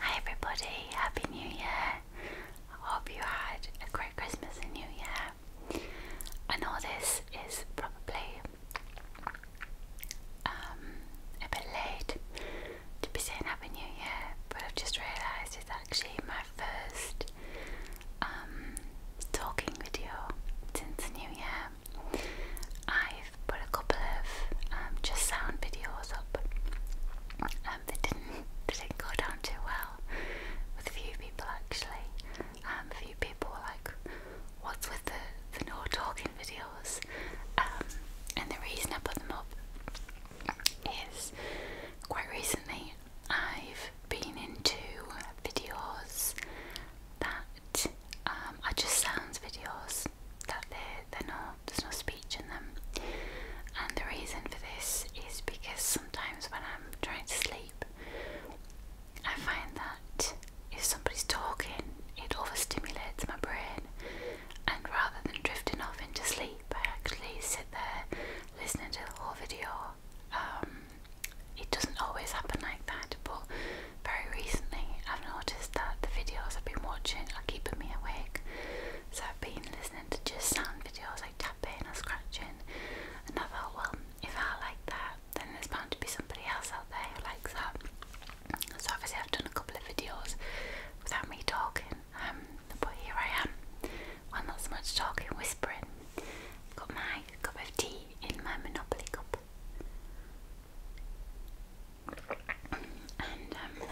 Hi everybody, Happy New Year. I hope you had a great Christmas and New Year. I know this is probably um, a bit late to be saying Happy New Year, but I've just realised it's actually my first um, talking video since New Year. I've put a couple of um, just sound videos up. Um, they didn't didn't go down too well with a few people actually. Um, a few people were like, "What's with the no talking videos?" Um, and the reason I put them up is quite recently I've been into videos that um, are just sounds videos that they they're there's no speech in them. And the reason for this is because sometimes when I'm trying to sleep, I find that if somebody's talking, it overstimulates my brain, and rather than drifting off into sleep, I actually sit there listening to the whole video, um, it doesn't always happen like that, but very recently I've noticed that the videos I've been watching are keeping me awake. So I've been listening to just sound videos like tapping or scratching, and I thought, well, if I like that, then there's bound to be somebody else out there who likes that. So obviously I've done a couple of videos without me talking, um, but here I am well, not so much talking, whispering. Got my cup of tea in my Monopoly cup. And um,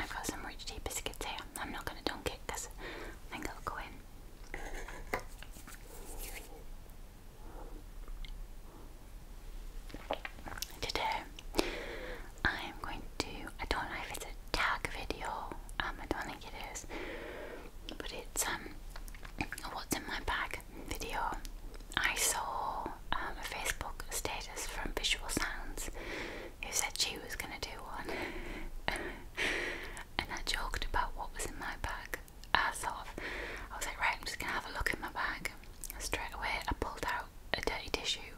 I've got some rich tea biscuits here. I'm not going to dunk it because I think I'll Today, I'm going to, I don't know if it's a tag video, um, I don't think it is, but it's um, what's in my bag video. I saw um, a Facebook status from Visual Sounds who said she was going to do one, and I joked about what was in my bag. Uh, sort of, I was like, right, I'm just going to have a look in my bag. Straight away, I pulled out a dirty tissue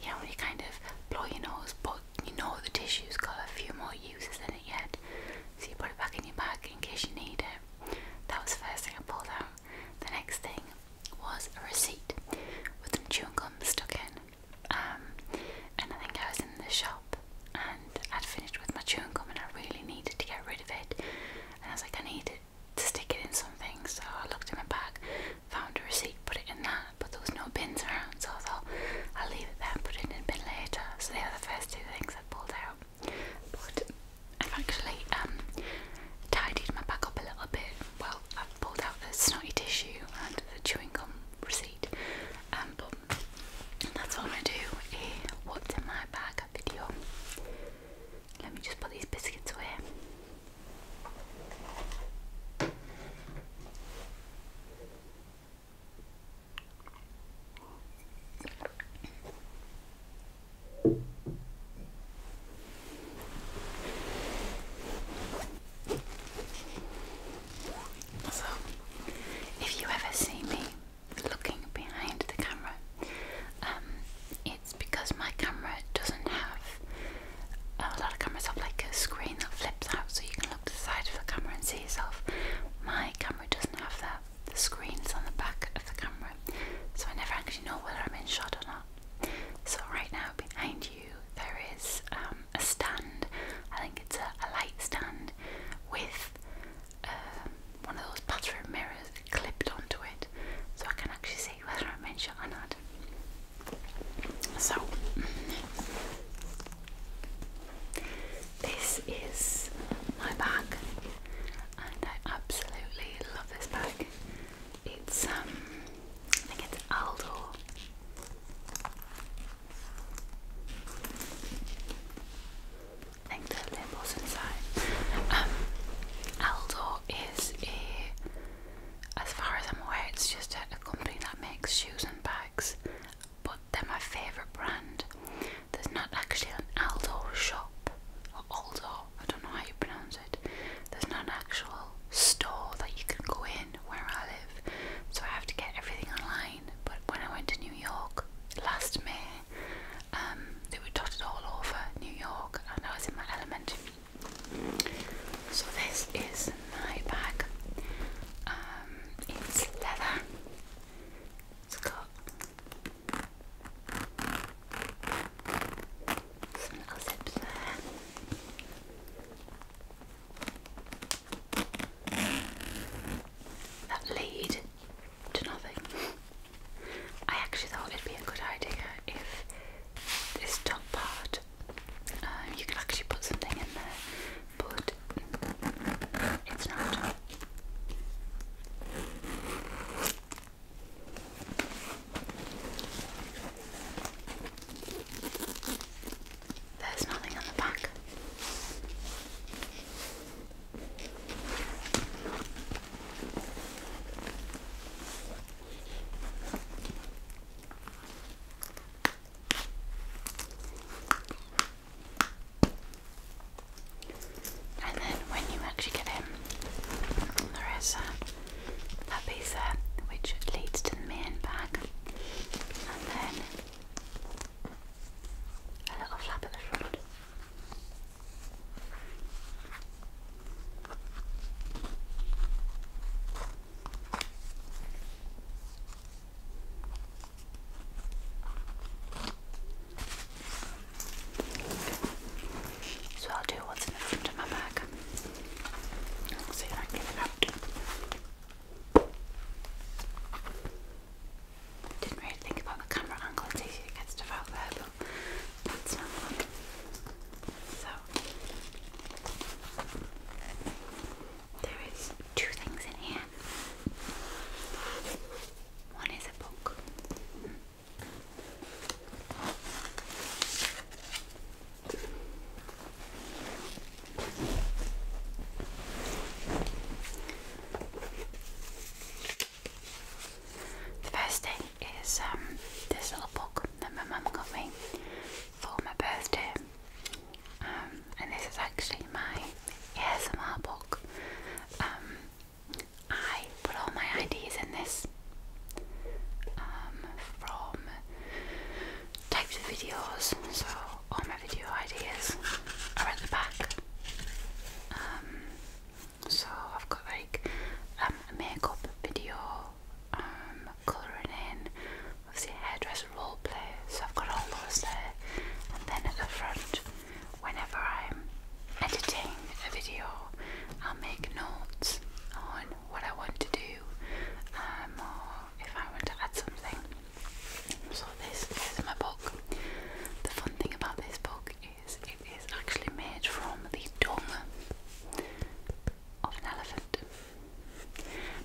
you know, when you kind of blow your nose, but you know the tissue's got a few more uses than it yet, so you put it back in your bag in case you need it. That was the first thing I pulled out. The next thing was a receipt with some chewing gum stuck in. Um, and I think I was in the shop and I'd finished with my chewing gum and I really needed to get rid of it. And I was like, I need to stick it in something. So I looked in my bag, found a receipt, put it in that, but there was no bins around, so I thought I'll leave it there put it in a bin later. So they are the first two things I pulled out. But I've actually um, tidied my bag up a little bit. Well, I've pulled out the snotty tissue and the chewing gum receipt. Um, but that's what I'm going to do a eh, what's in my bag video. Let me just put these biscuits away. So, if you ever see me looking behind the camera, um, it's because my camera doesn't have a lot of cameras have like a screen that flips out so you can look to the side of the camera and see yourself. My camera doesn't have that. The screen's on the back of the camera, so I never actually know whether I'm in shot or not. So right now behind you there is um, a stand. I think it's a, light stand with um, one of those bathroom mirrors clipped onto it, so I can actually see whether I'm in shot or not. So this is my bag, and I absolutely love this bag. It's um, I think it's Aldo. I think the label's inside. Um, Aldo is a, as far as I'm aware, it's just a company that makes shoes and bags bags, but they're my favourite brand. There's not actually an Aldo shop, or Aldo, I don't know how you pronounce it. There's not an actual store that you can go in where I live, so I have to get everything online. But when I went to New York last May, um, they were dotted all over New York, and I was in my element. So, this is my bag. Um, it's leather. It's got some little zips there. That lead to nothing. I actually thought it'd be a good idea if this top part um, you can actually put something in there, but it's not. There's nothing on the back. And then when you actually get in, there is a, that piece which leads to the main bag, and then a little flap at the front. So I'll do what's in the front of my bag. see if I can get it out. Didn't really think about the camera angle, it's easy to get stuff out there, that's not one. So there is two things in here. One is a book. The first thing is um, this little book that my mum got me for my birthday. Um, and this is actually my ASMR book. Um, I put all my ideas in this um, from types of videos, so all my video ideas are at the back. so I've got like a makeup video, colouring in, obviously hairdresser role play, so I've got all those there. And then at the front, whenever I'm editing a video, I'll make notes on what I want to do um, or if I want to add something. So, this is my book. The fun thing about this book is it is actually made from the dung of an elephant.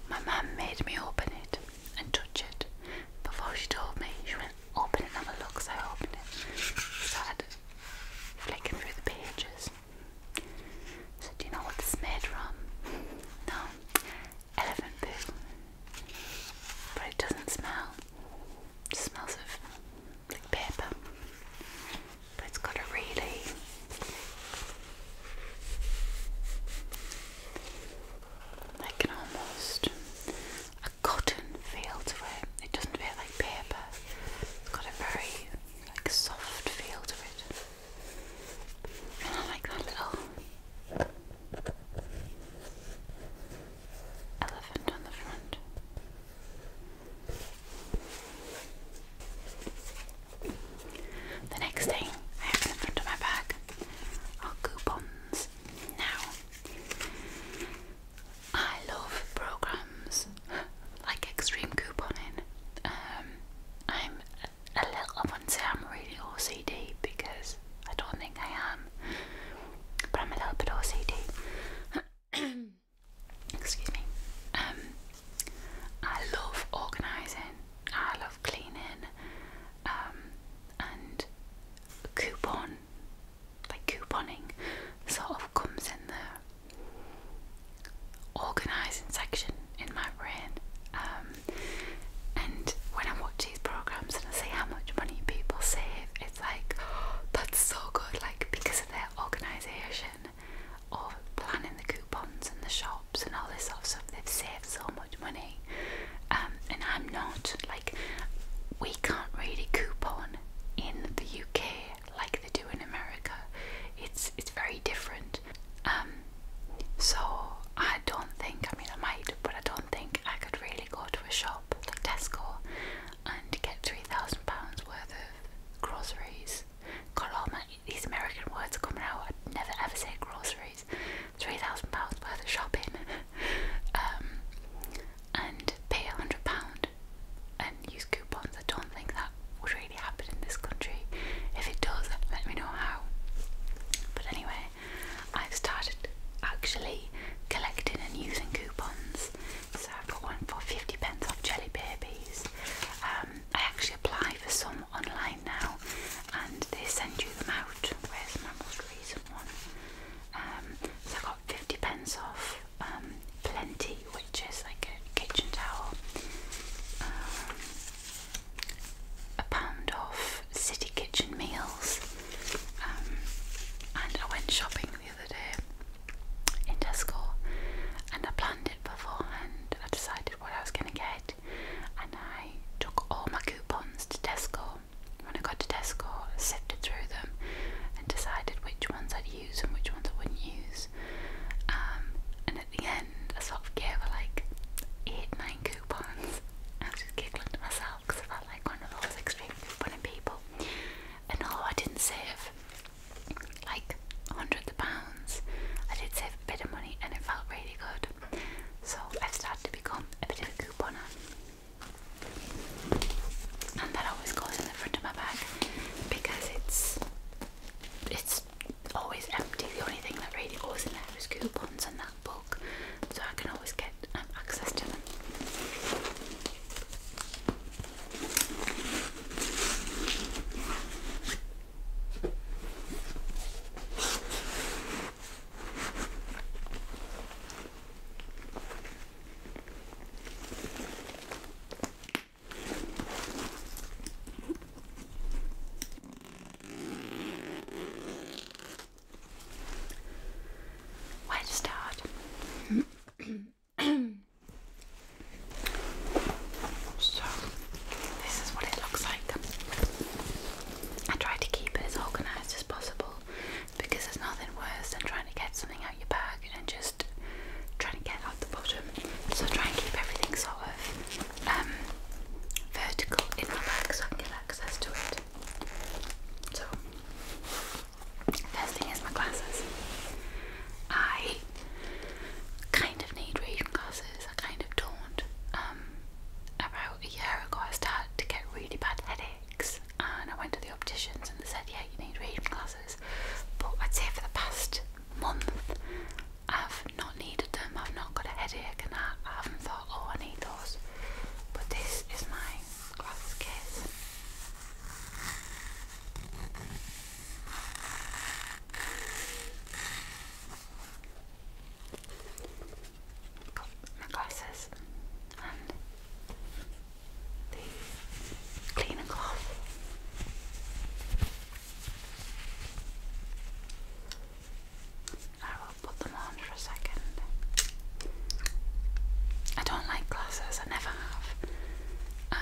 My mum made me open it and touch it before she told me. She went, open it and have a look, so I opened it. So I had flicking through the pages. So do you know what this is made from? No. Elephant poo. But it doesn't smell. smells of like paper. But it's got a really like an almost a cotton feel to it. It doesn't feel like paper. It's got a very like soft feel to it. And I like that little elephant on the front. The next thing I have in front of my bag are coupons. Now, I love programs like extreme couponing. Um, I'm a little, I wouldn't say I'm really OCD because I don't think I am, but I'm a little bit OCD. Excuse me. Um, I love organising, I love cleaning, um, and coupon, like couponing, sort of comes in the organising section in my brain. Um, and when I watch these programs and I see how much money people save, it's like that's so good, like because of their organisation of planning the coupons and the shopping and all this sort stuff. They've saved so much money, um, and I'm not. Like, we can't really coupon in the UK like they do in America. It's it's very different. Um, so I don't think. I mean, I might, but I don't think I could really go to a shop like Tesco and get three thousand pounds worth of groceries. God, all my these American words are coming out. I'd never ever say groceries three thousand pounds worth of shopping, um, and pay a hundred pound and use coupons. I don't think that would really happen in this country. If it does, let me know how. But anyway, I've started actually collecting and using coupons. So I've got one for fifty pence off jelly babies. Um, I actually apply for some online now and they send you them out. Where's my most recent one? Um, so I got 50 pence off um, Plenty, which is like a kitchen towel. Um, a pound off City Kitchen Meals. and I went shopping the other day in Tesco and I planned it beforehand. I decided what I was going to get and I took all my coupons to Tesco. When I got to Tesco, I sifted through them and decided which ones I'd use and which ones I wouldn't use. Um, and at the end, I sort of gave away like eight, nine coupons. I was just giggling to myself because I am like one of those extreme couponing people. And although I didn't save like hundreds of pounds, I did save a bit of money and it felt really good. So I've started to become a bit of a couponer. And that always goes in the front of my bag because it's it's always empty. The only thing that really goes in there is coupons and that book. So I can always get um, access to them. Where to start? so, this is what it looks like. I try to keep it as organised as possible because there's nothing worse than trying to get something out your bag and then just trying to get out the bottom. So I try and keep everything sort of um, vertical in my bag so I can get access to it. So first thing is my glasses. I kind of need reading glasses. I kind of don't. Um, about a year ago, I started to get really bad headaches, and I went to the opticians and they said, "Yeah, you need reading glasses." But I'd say for the past month, I've not needed them. I've not got a headache, and I, I haven't thought, "Oh, I need those." But this is my glasses case got my glasses and the cleaner cloth. I will put them on for a second. I don't like glasses, I never have. Um,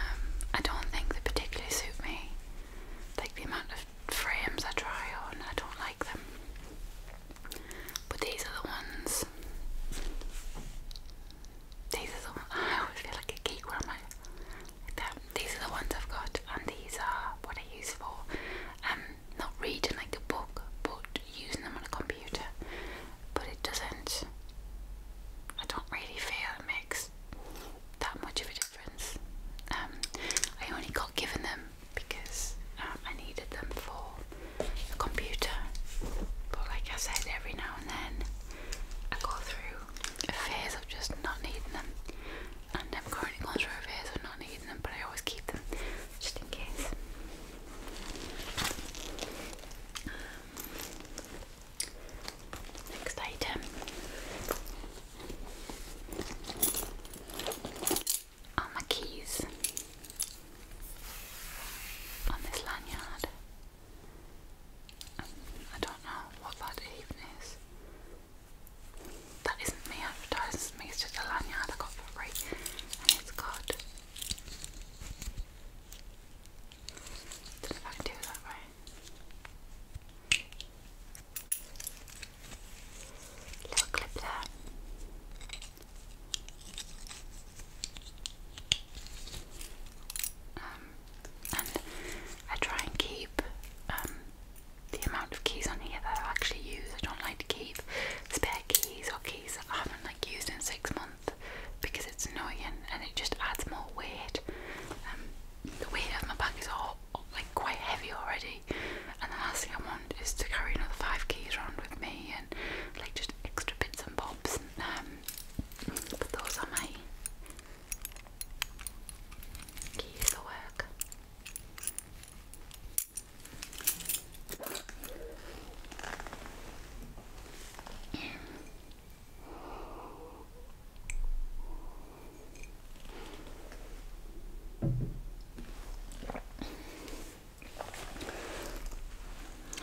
I don't think they particularly suit me. Like the amount of frames I try on, I don't like. But these are the ones. These are I always feel like a geek when i These are the ones I've got, and these are what I use for um, not reading like a book, but using them on a computer. But it doesn't. I don't really feel it makes that much of a difference. Um, I only got given them because uh, I needed them for the computer. But like I said, every now and then I go through a of just not needing them, and I'm currently going through a of not needing them, but I always keep them just in case. Next item are oh, my keys on this lanyard. I don't know what that even is. That isn't me advertising, it's just a lanyard I got for free. And it's got. I I do that right. Little clip there. Um, and I try and keep um, the amount of keys on here that I actually use. I don't like to keep spare keys or keys that I haven't like used in six months because it's annoying and it just adds more weight. Um, the weight of my bag is all like quite heavy already, and the last thing I want is to carry another five keys around with me and like just extra bits and bobs. And, um, but those are my keys for work.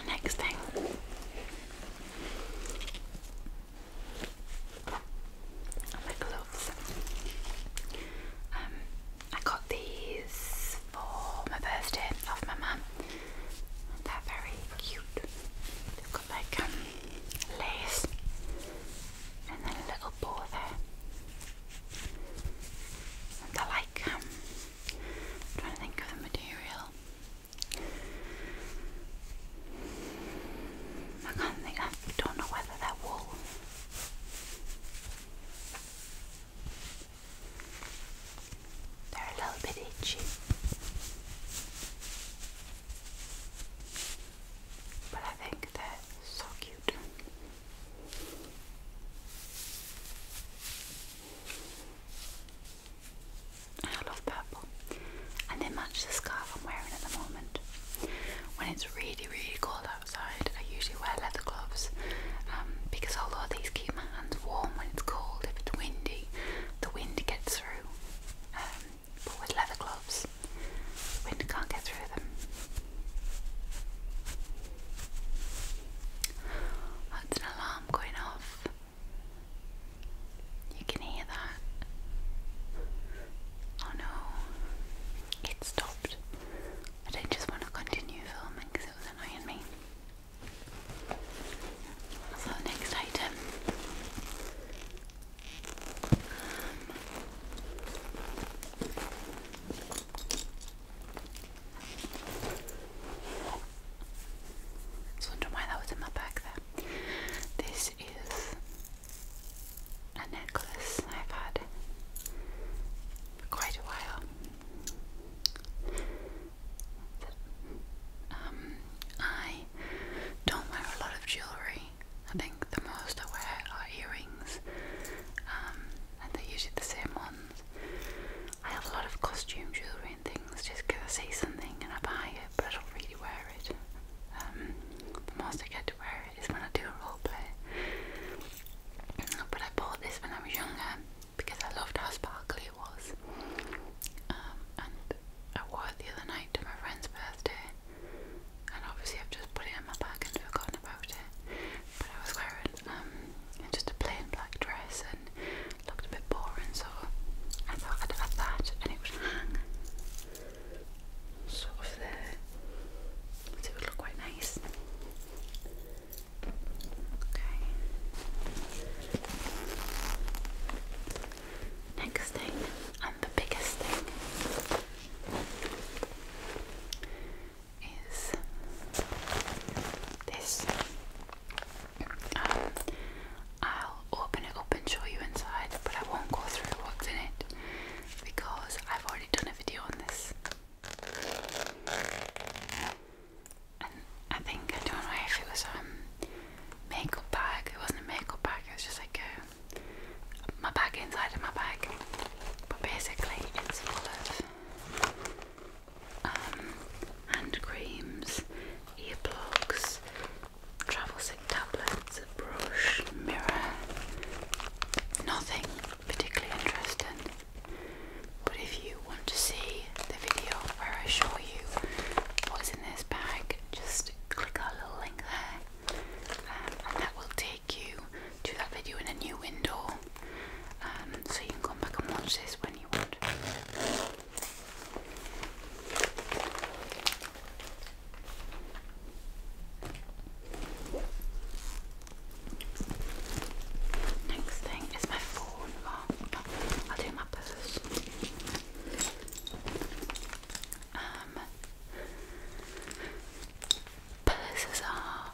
Next thing. my gloves. Um, I got these for my birthday from my mum. They're very cute. They've got like um, lace and then a little bow there. I like, um, trying to think of the material. I can't think, I don't know whether they're wool. They're a little bit itchy. But I think they're so cute. I love purple, and they match the scarf I'm wearing at the moment. When it's really, really cold outside, I usually wear leather gloves um, because although these keep my hands warm when it's cold, if it's windy, the wind gets through. Um, but with leather gloves, the wind can't get through them. That's an alarm going off. You can hear that. Oh no, it stopped. I do not just want to continue filming because it was annoying me. So, the next item. Um, I was why that was in my bag there. This is a necklace I've had quite a while. Um, I don't wear a lot of jewellery. I think the most I wear are earrings. Um, and they're usually the same ones. I have a lot of costume jewellery and things just because I see something and I buy it, but I don't really wear it. Um, the most I get to wear it is when I do a role play. But I bought this when I was younger because I loved how sparkly it was. Um, and I wore it the other night to my friend's birthday, and obviously I've just put it in my bag and forgot on it. But I was wearing um, just a plain black dress and looked a bit boring, so I thought I'd have that, and it was hang sort of there, so it would look quite nice. Okay. Next thing, and the biggest thing is this. Um, I'll open it up and show you inside, but I won't go through what's in it because I've already done a video on this. And I think I don't know if it was um makeup bag. It wasn't a makeup bag. It was just like a, my bag inside of my bag. But basically, it's full of um, hand creams, earplugs, travel sick tablets, a brush, mirror. Nothing particularly interesting. But if you want to see the video where I show you what's in this bag, just click our little link there, um, and that will take take you that video in a new window, um, so you can come back and watch this when you want. Next thing is my phone. I'll do my purse. Um, purses are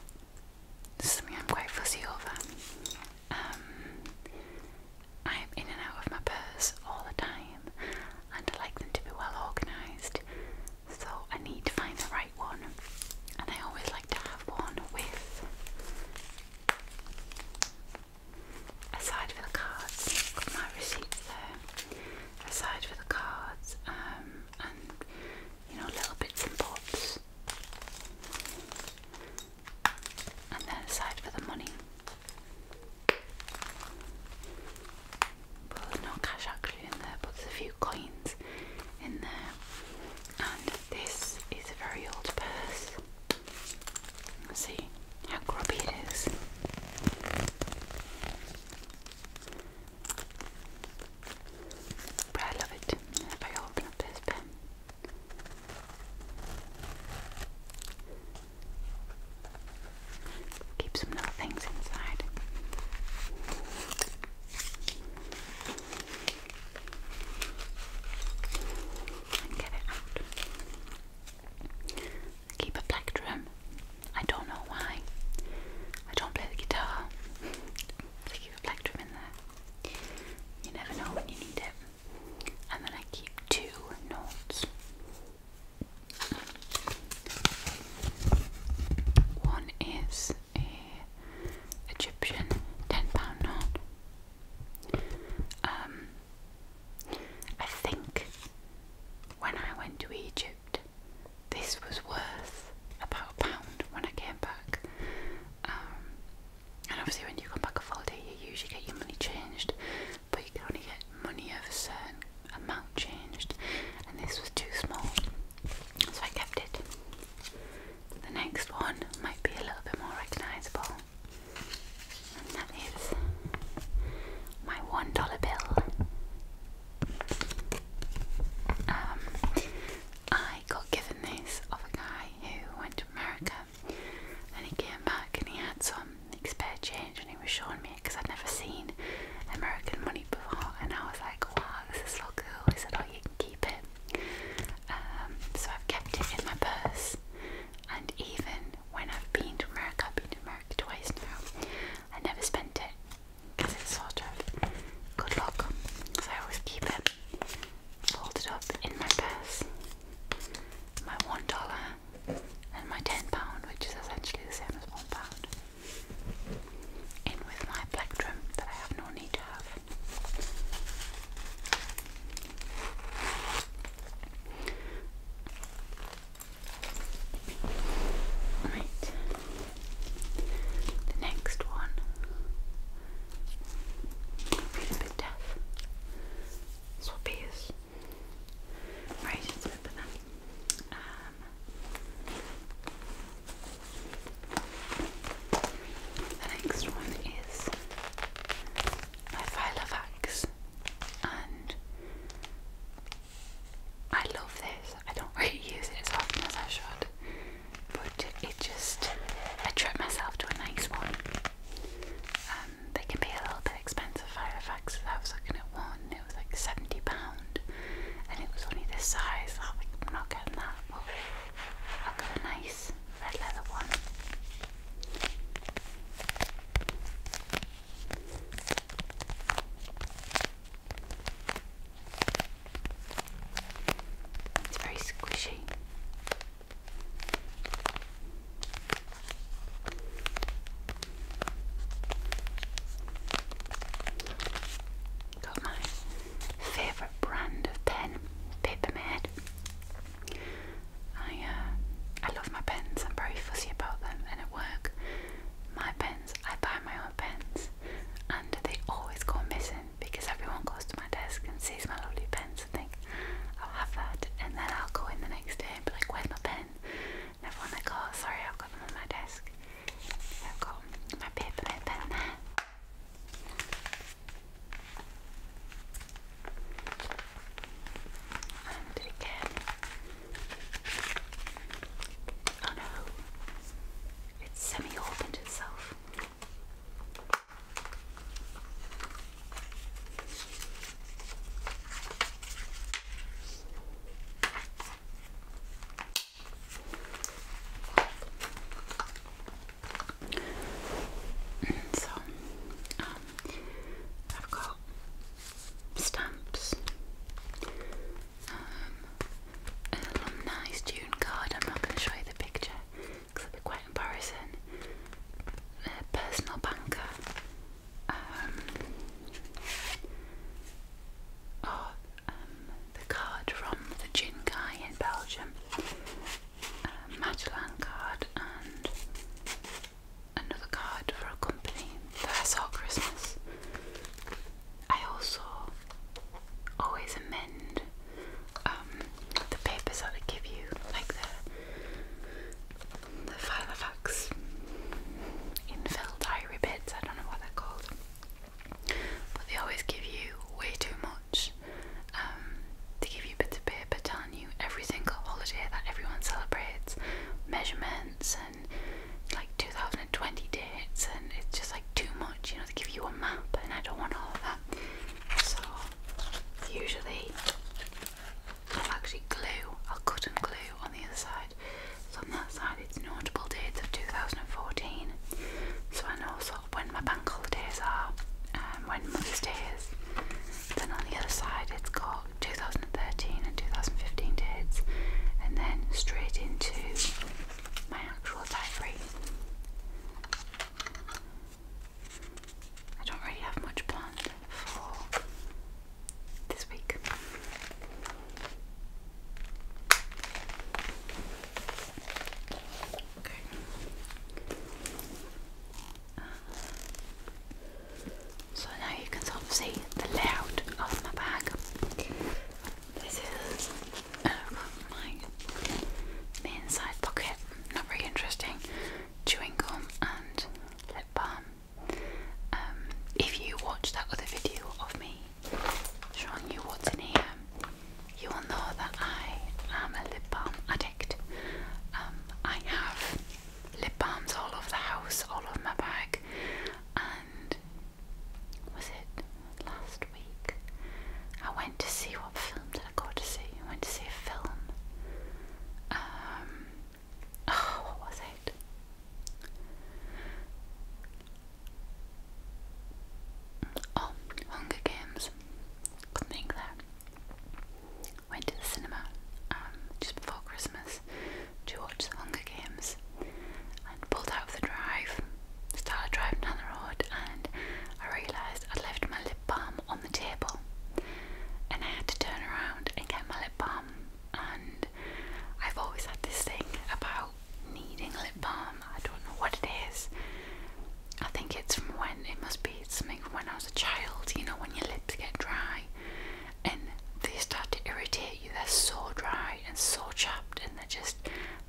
something I'm quite fussy over. Um, I'm in and out of my purse all the time, and I like them to be well organised. So I need to find the right one, and I always like to have one with a side for the cards. Got my receipts there. A side for the cards, um, and you know little bits and bobs and then aside for the money. Well, no cash actually in there, but there's a few coins in there. And this is a very old purse. See how grubby it is. But I love it. If I open up this pen. Keep some little things inside. And get it keep a plectrum. I don't know why. I don't play the guitar. leave in there. You never know when you need it. And then I keep two notes. One is a Egyptian ten pound note. Um, I think when I went to Egypt, this was worth was about a pound when I came back. Um, and obviously, when you come back off holiday, you usually get your money changed, but you can only get money of a certain amount changed, and this was too small, so I kept it. The next one might be a little bit more recognisable, and that is my one dollar bill. Um, I I got given this of a guy who went to America and he came back and he had some like, spare change and he was showing me it because I'd never seen American money before and I was like, wow, this is so cool. He said, oh, you can keep it. Um, so I've kept it in my purse and even when I've been to America, I've been to America twice now, I never spent it because it's sort of good luck. So I always keep it folded up in my purse. My one dollar and my ten pound, which is essentially the same as one pound. In with my plectrum that I have no need to Right. The next one a bit deaf. Swappies. Right, let's open them. Um, the next one is my Filavax and I love this. I don't really use it as often as I should but it just I treat myself to a nice one. Um, they can be a little bit expensive. Firefax, I was looking at one, it was like seventy pound, and it was only this size. I was like, not getting that, I'll get a nice red leather one. It's very squishy. Got my favourite brand of pen, Papermade. I uh, I love my pens. I'm very fussy about them, and at work, my pens I buy my own pens and they always go missing because everyone goes to my desk and sees my lovely pens and think, I'll have that and then I'll go in the next day and be like, where's my pen? And everyone like, oh sorry, I've got them on my desk. I've got my paper and pen And again. Oh no. It's semi-opened itself. So, um, I've got stamps, um, an alumni card. I'm not going to show you the picture, because it quite embarrassing. personal banker. Um, oh, um, the card from the gin guy in Belgium. A card and another card for a company that saw Christmas. I also always amend um, the papers that I give you, like the the in infill diary bits, I don't know what they're called. But they always give you way too much. Um, to give you bits of paper telling you every single holiday that everyone celebrates, measurements and like 2020 dates, and it's just like too much. You know, they give you a map, and I don't want all of that. So usually I'll actually glue, I'll cut and glue on the other side. So on that side it's notable dates of 2014. So I know sort of when my bank holidays are and um, when Mother's Day is. Then on the other side it's got 2013 and 2015 dates and then straight into my actual diary. I don't really have much planned for this week. Okay. Uh, so now you can sort of see the layout of my bag. This is and I've got my inside pocket, not very interesting, chewing gum and lip balm. Um, if you watch that other video of me showing you what's in here, you will know that I am a lip balm addict. Um, I have lip balms all over the house, all over my bag, and was it last week. I went to see what film did I go to see? I went to see a film. Um, oh, what was it? Oh, Hunger Games. Couldn't think that. Went to the cinema um, just before Christmas to watch the Hunger Games and pulled out of the drive started driving down the road and I realised I'd left my lip balm on the table and I had to turn around and get my lip balm and I've always had this thing about needing lip balm. I don't know what it is. I think it's from when it must be something from when I was a child, you know, when your lips get dry and they start to irritate you, they're so dry and so chapped and they're just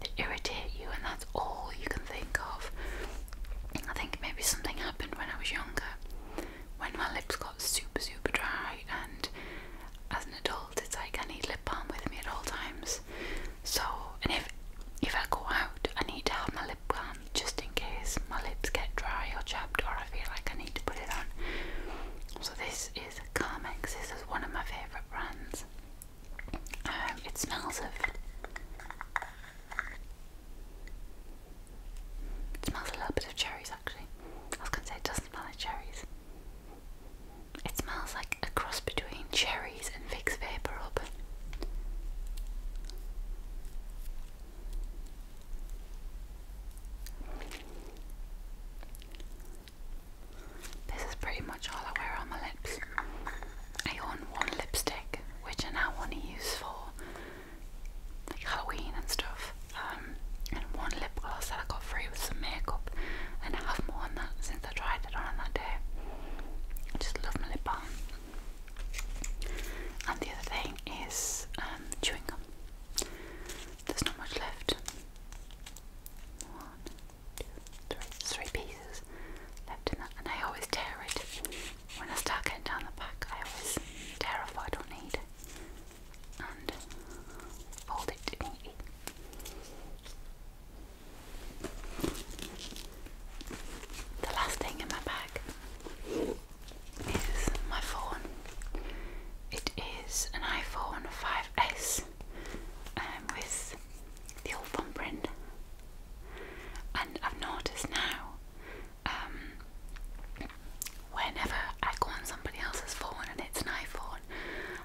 they irritate you, and that's all you can think of. I think maybe something happened when I was younger, when my lips got super, super dry, and as an adult, it's like I need lip balm with me at all times. So, and if if I go out, I need to have my lip balm just in case my lips get dry or chapped, or I feel like I need to put it on. So this is Carmex. This is one of my favourite brands. Um, it smells of. It smells a little bit of cherries actually. I was gonna say it doesn't smell like cherries. It smells like a cross between cherries and Vicks Vapor This is pretty much all I wear on my lips. I own one lipstick which I now want to use for Halloween and stuff. Um, and one lip gloss that I got free with some makeup, and I have more worn that since I tried it on that day. I just love my lip balm. And the other thing is um, chewing gum. There's not much left. three. Three pieces left in that. And I always tear it. When I start getting down the back, I always terrified off I don't need and fold it neatly. The last thing in my bag is my phone. It is an iPhone 5S um, with the old phone brand. And I've noticed now, um, whenever I go on somebody else's phone and it's an iPhone,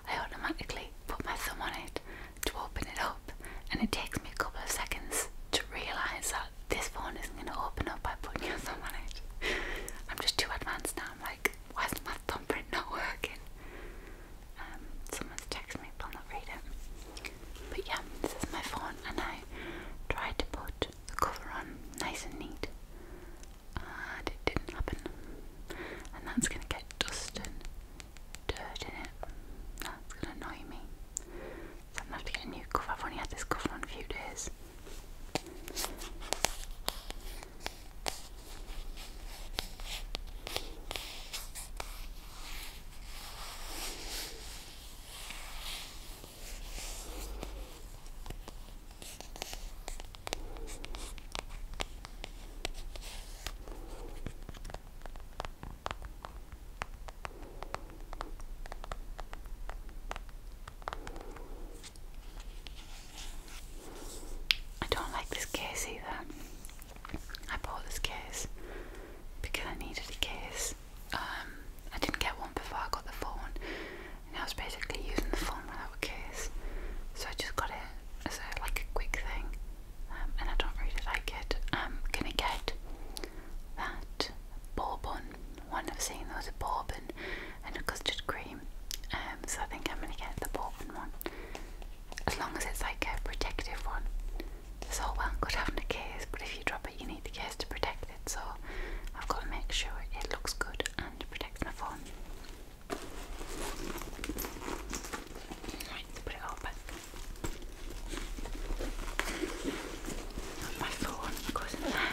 I automatically put my thumb on it to open it up, and it takes me a couple of seconds to realise that this phone isn't going to open up by putting your thumb on it. I'm just too advanced now. I'm like, why is my thumbprint not working? Um, someone's texted me, but I'll not read But yeah, this is my phone, and I tried to put the cover on nice and neat, and it didn't happen. And that's gonna get dust and dirt in it. That's gonna annoy me. So I'm gonna have to get a new cover. I've only had this cover on a few days. I don't like this case either. I bought this case because I needed a case. Um, I didn't get one before I got the phone, and I was basically using the phone without a case, so I just got it as a, like a quick thing. Um, and I don't really like it. I'm um, gonna get that bourbon one. I've seen there was a bourbon and a custard cream, so I think I'm gonna get the bourbon one. As long as it's like a protective one, this whole one could have a case, but if you drop it, you need the case to protect it. So I've got to make sure it looks good and protects my phone. Right, put it all back. My phone goes in there.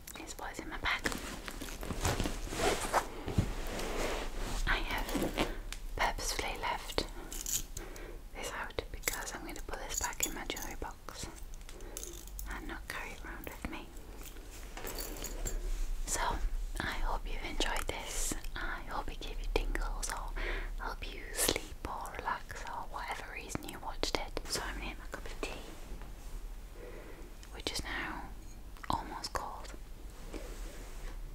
This boys in my bag. I have purposefully left this out because I'm going to put this back in my jewellery box and not carry it around with me. So, I hope you've enjoyed this. I hope it gave you tingles or help you sleep or relax or whatever reason you watched it. So, I'm going to make my cup of tea which is now almost cold.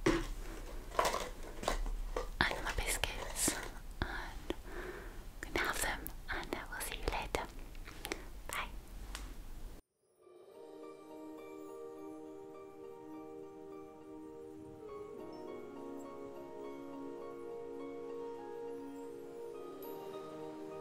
And my biscuits, and gonna have them, and I will see you later. Bye.